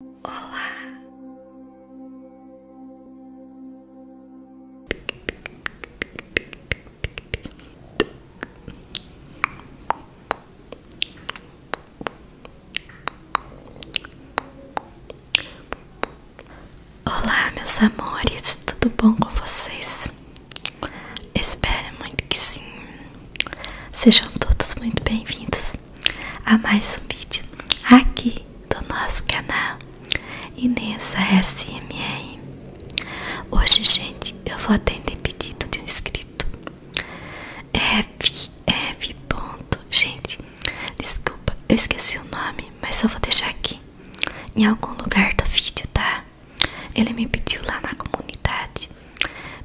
Olá. Olá, meus amores, tudo bom com vocês? Espero muito que sim. Sejam todos muito bem-vindos a mais um vídeo aqui do nosso canal Inês SMR. Hoje, gente, eu vou atender pedido de um inscrito. FF. Gente, desculpa, eu esqueci o nome, mas eu vou deixar aqui em algum lugar do vídeo, tá? Ele me pediu lá na comunidade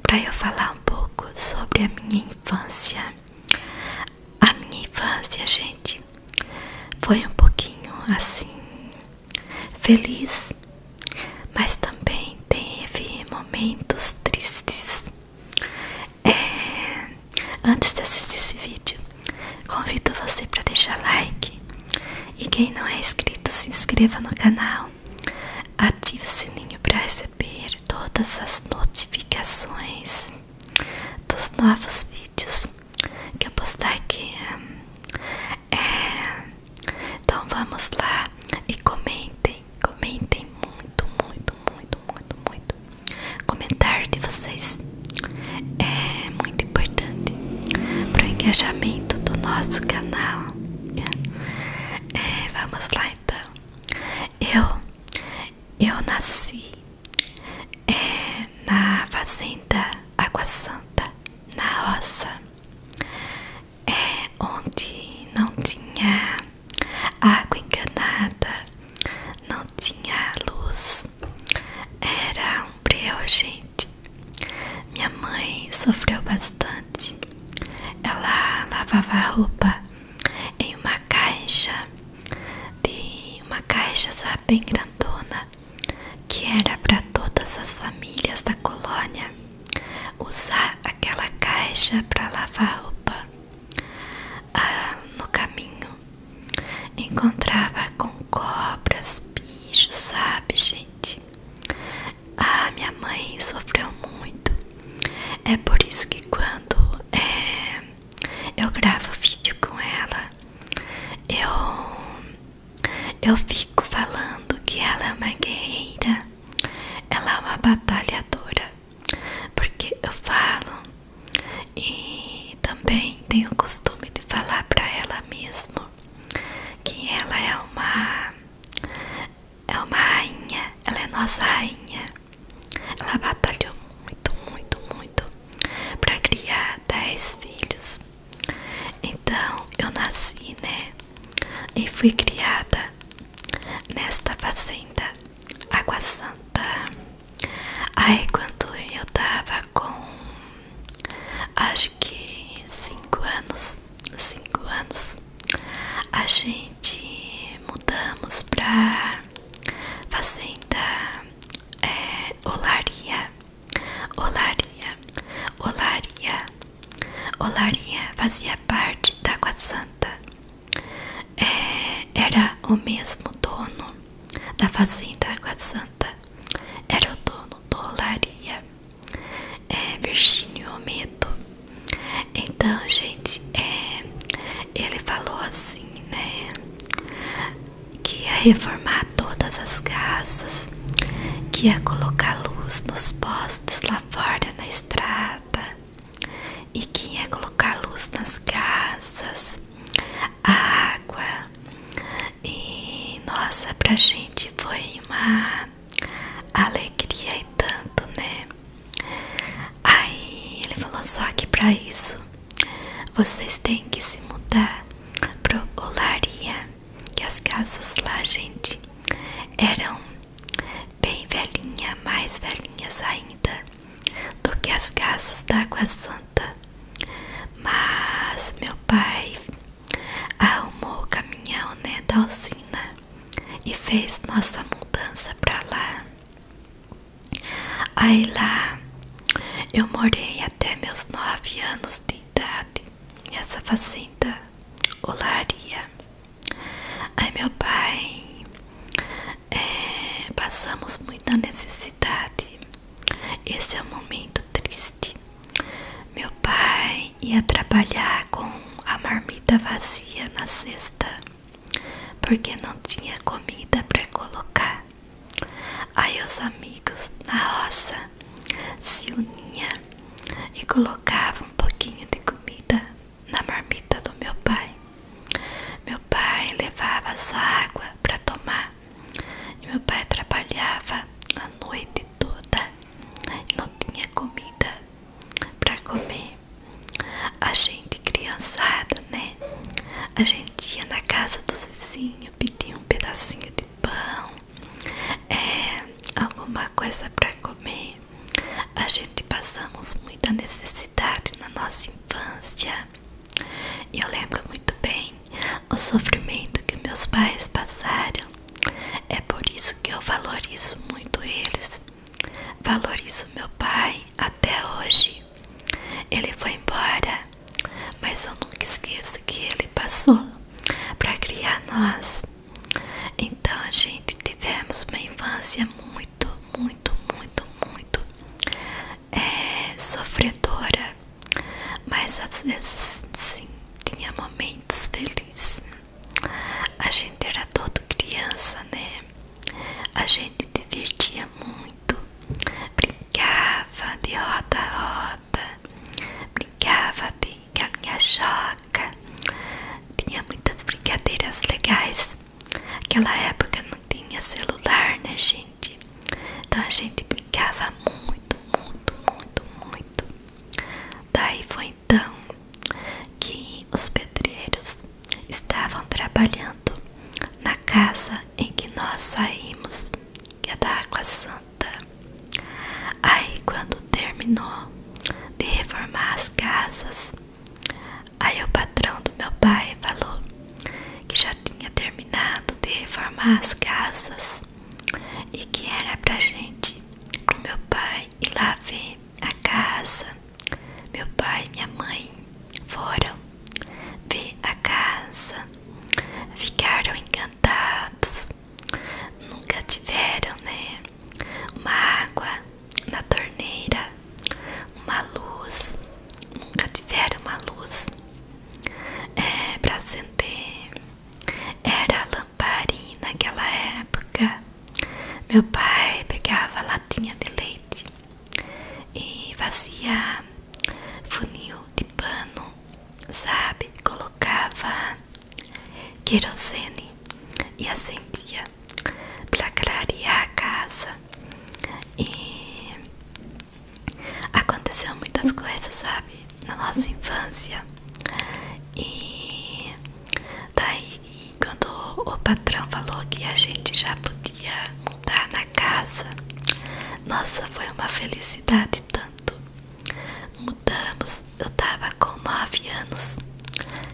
para eu falar um pouco sobre a minha infância. A minha infância, gente, foi um pouquinho assim feliz, mas também teve momentos tristes. É, antes de assistir esse vídeo, convido você para deixar like e quem não é inscrito se inscreva no canal, ative o sininho para receber todas as notificações dos novos vídeos que eu postar aqui. É, é, então vamos lá e comentem, comentem muito, muito, muito, muito, muito. Comentário de vocês é muito importante para o engajamento do nosso canal. Né? É, vamos lá então. Eu eu nasci é, na fazenda Água Santa, na roça, é, onde não tinha água enganada, não tinha luz, era um breu, gente. Minha mãe sofreu bastante. Ela lavava roupa em uma caixa de uma caixa bem grandona que era para todas as famílias da colônia usar aquela caixa para lavar roupa. Ah, no caminho encontrava com cobras, bichos, sabe, gente? Ah, minha mãe sofreu muito é por isso que quando é, eu gravo vídeo com ela, eu, eu fico falando que ela é uma guerreira, ela é uma batalhadora, porque eu falo e também tenho o costume de falar para ela mesmo que ela é uma é uma rainha, ela é nossa rainha. Ela batalhou muito, muito, muito para criar 10 filhos. Então eu nasci, né? E fui criada nesta fazenda, Água Santa. Aí quando eu tava com acho que 5 anos, 5 anos, a gente mudamos para fazenda é, Olaria, Olaria, Olaria, Olaria fazia parte da Água Santa, é, era o mesmo dono da fazenda Água Santa, era o dono do Olaria. É, Virgínio Ometo então, gente, é, ele falou assim, né? Que ia reformar todas as casas, que ia colocar luz nos postes lá fora na estrada, e que ia colocar luz nas casas, água. E nossa, pra gente foi uma alegria e tanto, né? Aí ele falou: só que para isso vocês têm que se mudar pro Olaria, que as casas lá, gente, eram bem velhinhas, mais velhinhas ainda do que as casas da Água Santa. Mas meu pai arrumou o caminhão né, da usina e fez nossa mudança para lá. Aí lá eu morei até meus nove anos de idade nessa fazenda olaria. Aí meu pai é, passamos muita necessidade. Esse é um momento triste. Meu pai ia trabalhar com a marmita vazia na sexta porque não tinha comida para colocar. Aí os amigos na roça se uniam e colocavam um pouquinho de comida na marmita do meu pai. Meu pai levava só água para tomar meu pai trabalhava a noite toda, não tinha comida para comer. A gente criançada, né? A gente ia na casa dos vizinhos, pedia um pedacinho de pão, é, alguma coisa para comer. A gente passamos muita necessidade na nossa infância. E eu lembro muito bem o sofrimento que meus pais passaram. É por isso que eu valorizo muito eles Valorizo meu pai até hoje. Ele foi embora, mas eu nunca esqueço que ele passou para criar nós. Então, a gente tivemos uma infância muito, muito, muito, muito é, sofredora, mas às vezes sim tinha momentos felizes. A gente era todo criança, né? A gente divertia muito, brincava de roda a roda, brincava de galinha choca, tinha muitas brincadeiras legais. Aquela época não tinha celular, né, gente? Então a gente brincava muito, muito, muito, muito. Daí foi então que os pedreiros estavam trabalhando na casa em que nós saímos, que é da Água Santa. Aí, quando terminou de reformar as casas, aí o patrão do meu pai falou que já tinha terminado de reformar as casas e que era pra gente, pro meu pai ir lá ver a casa meu pai e minha mãe foram ver a casa, ficaram encantados, nunca tiveram, né? Uma água na torneira, uma luz, nunca tiveram uma luz é, para acender. Era a lamparina naquela época. Meu pai pegava latinha de leite e fazia funil de pano, sabe? Colocava querosene e acendia para clarear a casa. E aconteceu muitas coisas, sabe? Na nossa infância. E Daí, quando o patrão falou que a gente já podia mudar na casa, nossa, foi uma felicidade tanto. Mudamos, eu tava com nove anos.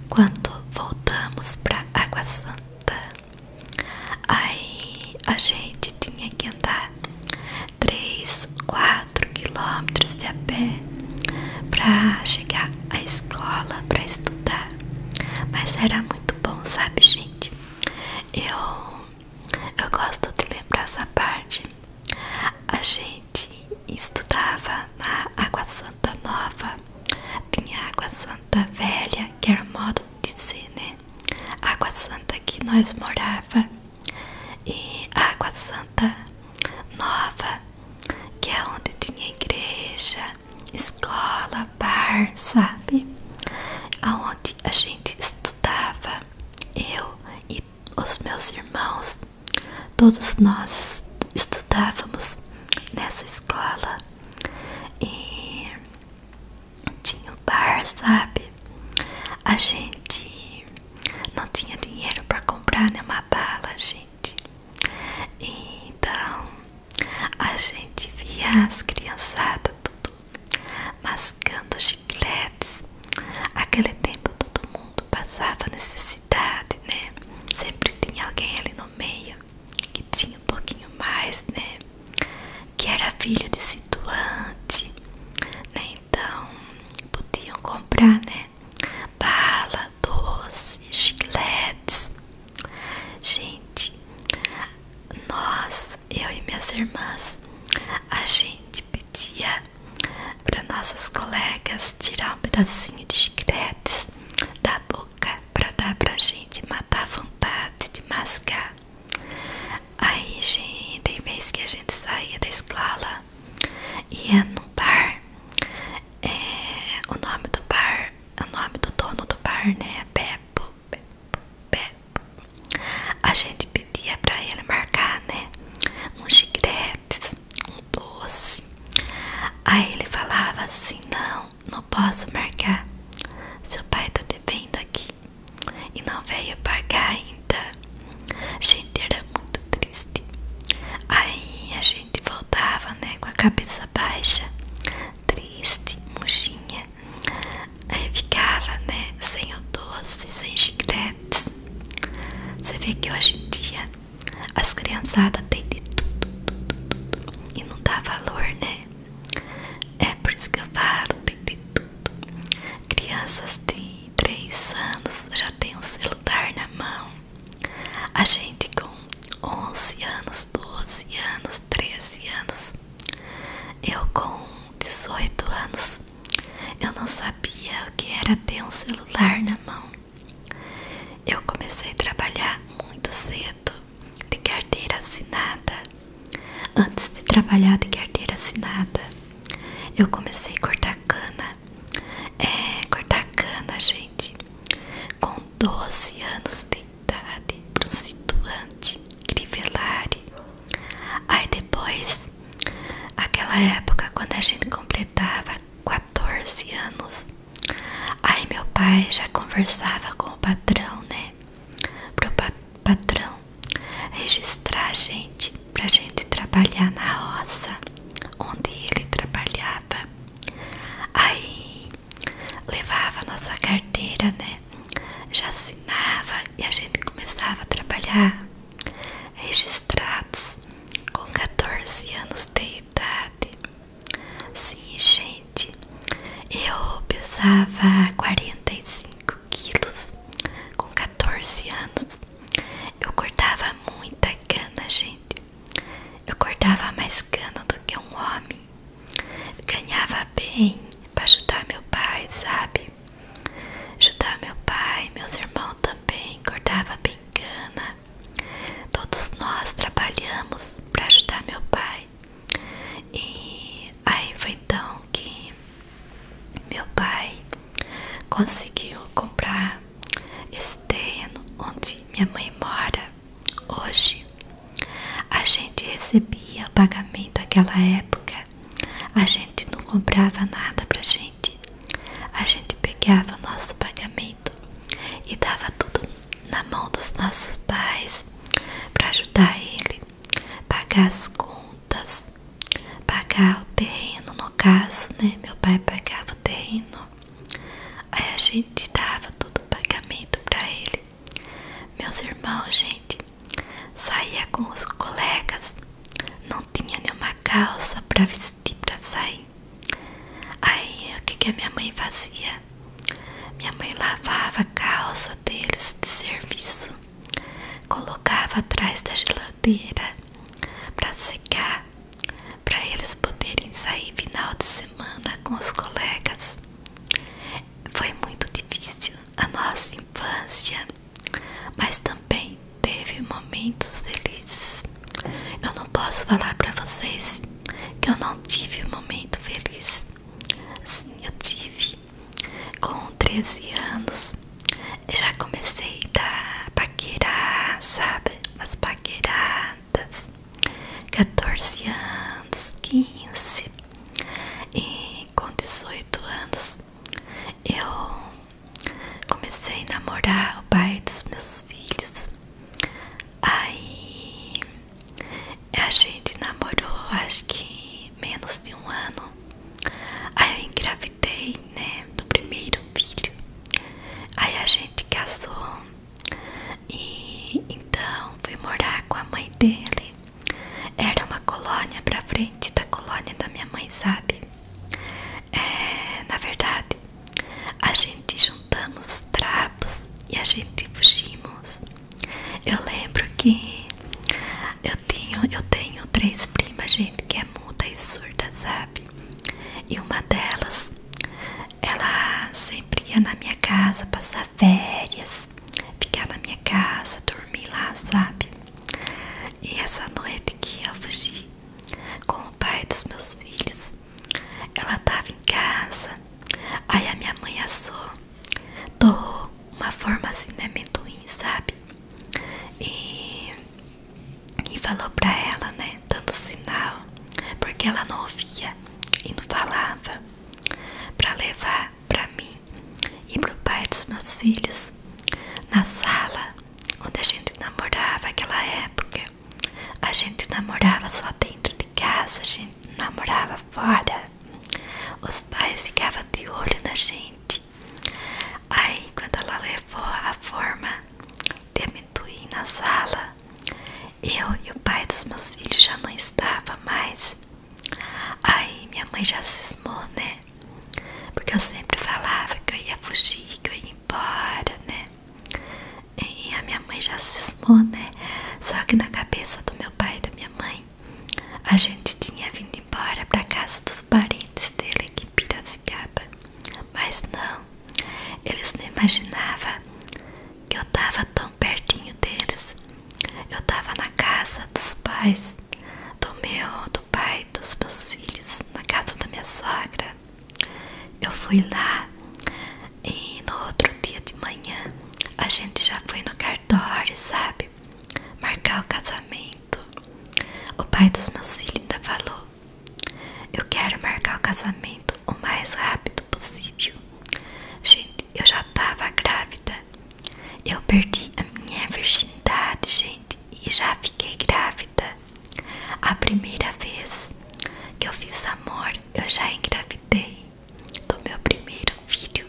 Quando voltamos para Água Santa, aí a gente tinha que andar três quatro quilômetros de a pé né? Pra chegar à escola, pra estudar. Mas era muito bom, sabe, gente? Eu. Eu gosto de lembrar essa parte. A gente estudava na Água Santa Nova, tinha Água Santa Velha, que era modo de dizer, né? Água Santa que nós morava e Água Santa nova, que é onde tinha igreja, escola, bar, sabe? Aonde a gente estudava, eu e os meus irmãos, todos nós estudávamos nessa escola e tinha o bar, sabe? A gente não tinha dinheiro para comprar nenhuma bala, gente. Então a gente via as criançadas tudo mascando chicletes. Aquele tempo todo mundo passava necessidade, né? Sempre tinha alguém ali no meio que tinha um pouquinho mais, né? Que era filho de situante, né? Então podiam comprar, né? Bala, doce, chicletes. Gente, nós, eu e minhas irmãs, a gente pedia para nossas colegas tirar um pedacinho de chicletes da boca para dar para a gente matar a vontade de mascar. Aí, gente, tem vez que a gente saía da escola, ela ia é no bar. É, o nome do bar, o nome do dono do bar, né? Beppo, é Beppo, Beppo. A gente pedia pra ele marcar, né? Um chiclete, um doce. Aí ele falava assim: Não, não posso marcar. Seu pai tá devendo aqui e não veio pagar ainda. Gente, era muito triste. Aí a gente gente voltava, né, com a cabeça baixa, triste, murchinha. Aí ficava, né, sem o doce, sem chicletes. Você vê que hoje em dia as criançadas têm de tudo, tudo, tudo, e não dá valor, né? É por isso tem de tudo. Crianças de três anos já têm um celular na mão, a gente com 11 anos, 12 anos, 13 anos, eu com 18 anos, eu não sabia o que era ter um celular na mão. Eu comecei a trabalhar muito cedo, de carteira assinada. Antes de trabalhar de carteira assinada, eu comecei a cortar cana cana, é, cortar cana, gente, com 12 anos de idade, para um situante, crivelare. Aí depois, aquela época quando a gente completava 14 anos, aí meu pai já conversava com o patrão, né? Para o patrão registrar a gente pra gente trabalhar na roça onde ele trabalhava. Aí levava a nossa carteira, né? Já assinava e a gente começava a trabalhar. Registrados com 14 anos de idade. Sim, gente, eu pesava 45 quilos com 14 anos. Eu cortava muita cana, gente. Eu cortava mais cana do que um homem. ganhava bem para ajudar meu pai, sabe? Ajudar meu pai, meus irmãos também cortava bem cana. Todos nós trabalhamos para ajudar meu pai. E aí foi então que meu pai conseguiu comprar terreno onde minha mãe mora hoje, a gente recebia o pagamento naquela época. A gente não comprava nada pra gente. A gente pegava o nosso pagamento e dava tudo na mão dos nossos pais para ajudar ele pagar as contas, pagar o terreno no caso, né? Meu pai pagava o terreno Aí a gente dava todo o pagamento para ele. Meus irmãos, gente, saía com os colegas, não tinha nenhuma calça para vestir para sair. Aí o que, que a minha mãe fazia? Minha mãe lavava a calça deles de serviço, colocava atrás da geladeira para secar para eles poderem sair final de semana com os colegas. Foi muito difícil a nossa infância, mas também teve momentos felizes. Eu não posso falar para vocês que eu não tive um momento feliz. Sim, eu tive. Com 13 anos, eu já comecei a paquerar, sabe? umas paqueradas, 14 anos, 15 e com 18 anos eu comecei a namorar o pai dos meus filhos. Aí a gente namorou acho que menos de um ano. Aí eu engravidei né? Do primeiro filho. Aí a gente casou e então fui morar com a mãe dele. Era uma colônia pra frente da colônia da minha mãe, sabe? É, na verdade, a gente juntamos trapos e a gente fugimos. Eu lembro que eu tenho, eu tenho três primas, gente, que é muda e surda, sabe? E uma delas, ela sempre ia na minha casa passar férias, ficar na minha casa, dormir lá, sabe? E essa noite que eu fugi com o pai dos meus filhos, ela tava em casa, aí a minha mãe assou, torrou uma forma assim né, de amendoim, sabe? E e falou para ela, né, dando sinal, porque ela não ouvia e não falava, para levar para mim e pro pai dos meus filhos na sala onde a gente namorava aquela época. A gente namorava só dentro de casa, a gente namorava fora. Os pais ficavam de olho na gente. Aí, quando ela levou a forma de amendoim na sala. Eu e o pai dos meus filhos já não estava mais. Aí minha mãe já cismou, né? Porque eu sempre falava que eu ia fugir, que eu ia embora, né? E a minha mãe já cismou, né? Só que na cabeça do meu pai e da minha mãe, a gente tinha vindo embora pra casa dos parentes dele aqui em Piracicaba. Mas não, eles não imaginavam que eu estava tão pertinho deles. Eu estava na casa dos pais, do meu, do pai, dos meus filhos, na casa da minha sogra. Eu fui lá e no outro dia de manhã a gente já foi no cartório, sabe? Marcar o casamento. O pai dos meus filhos ainda falou: eu quero marcar o casamento o mais rápido possível. Gente, eu já tava grávida. Eu perdi a minha virgindade, gente, e já fiquei grávida. A primeira vez que eu fiz amor, eu já engravidei do meu primeiro filho,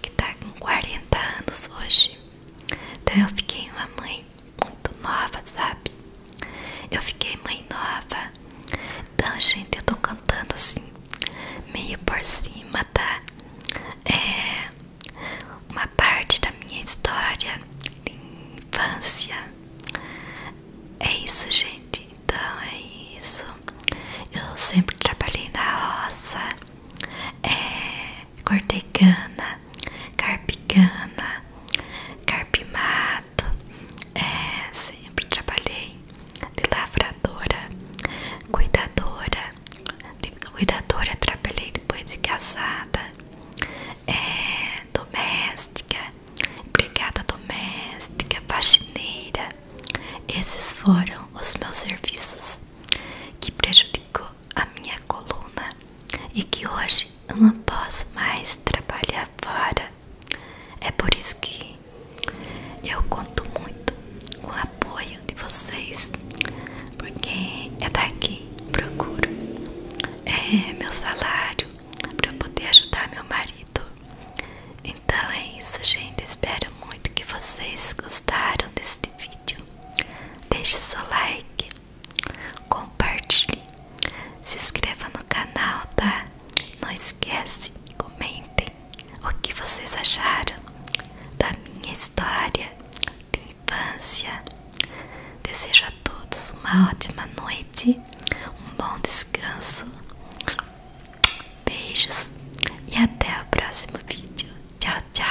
que tá com 40 anos hoje. Então eu fiquei uma mãe muito nova, sabe? Eu fiquei mãe nova. Então, gente, eu tô cantando assim, meio por cima, tá? É uma parte da minha história de infância. É isso, gente. Então, é isso. Eu sempre trabalhei na roça, é, cortei cana, carpicana, carpimato. É, sempre trabalhei de lavradora, cuidadora. De cuidadora trabalhei depois de casada, é, doméstica, brigada doméstica, faxineira. Esses foram os meus serviços que prejudicou a minha coluna e que hoje eu não posso mais trabalhar fora. É por isso que eu conto muito com o apoio de vocês, porque é daqui procuro é meu salário para eu poder ajudar meu marido. Então é isso, gente. Espero muito que vocês gostaram deste vídeo. Deixe seu like, compartilhe, se inscreva no canal, tá? Não esquece, comentem o que vocês acharam da minha história de infância. Desejo a todos uma ótima noite, um bom descanso, beijos e até o próximo vídeo. Tchau, tchau!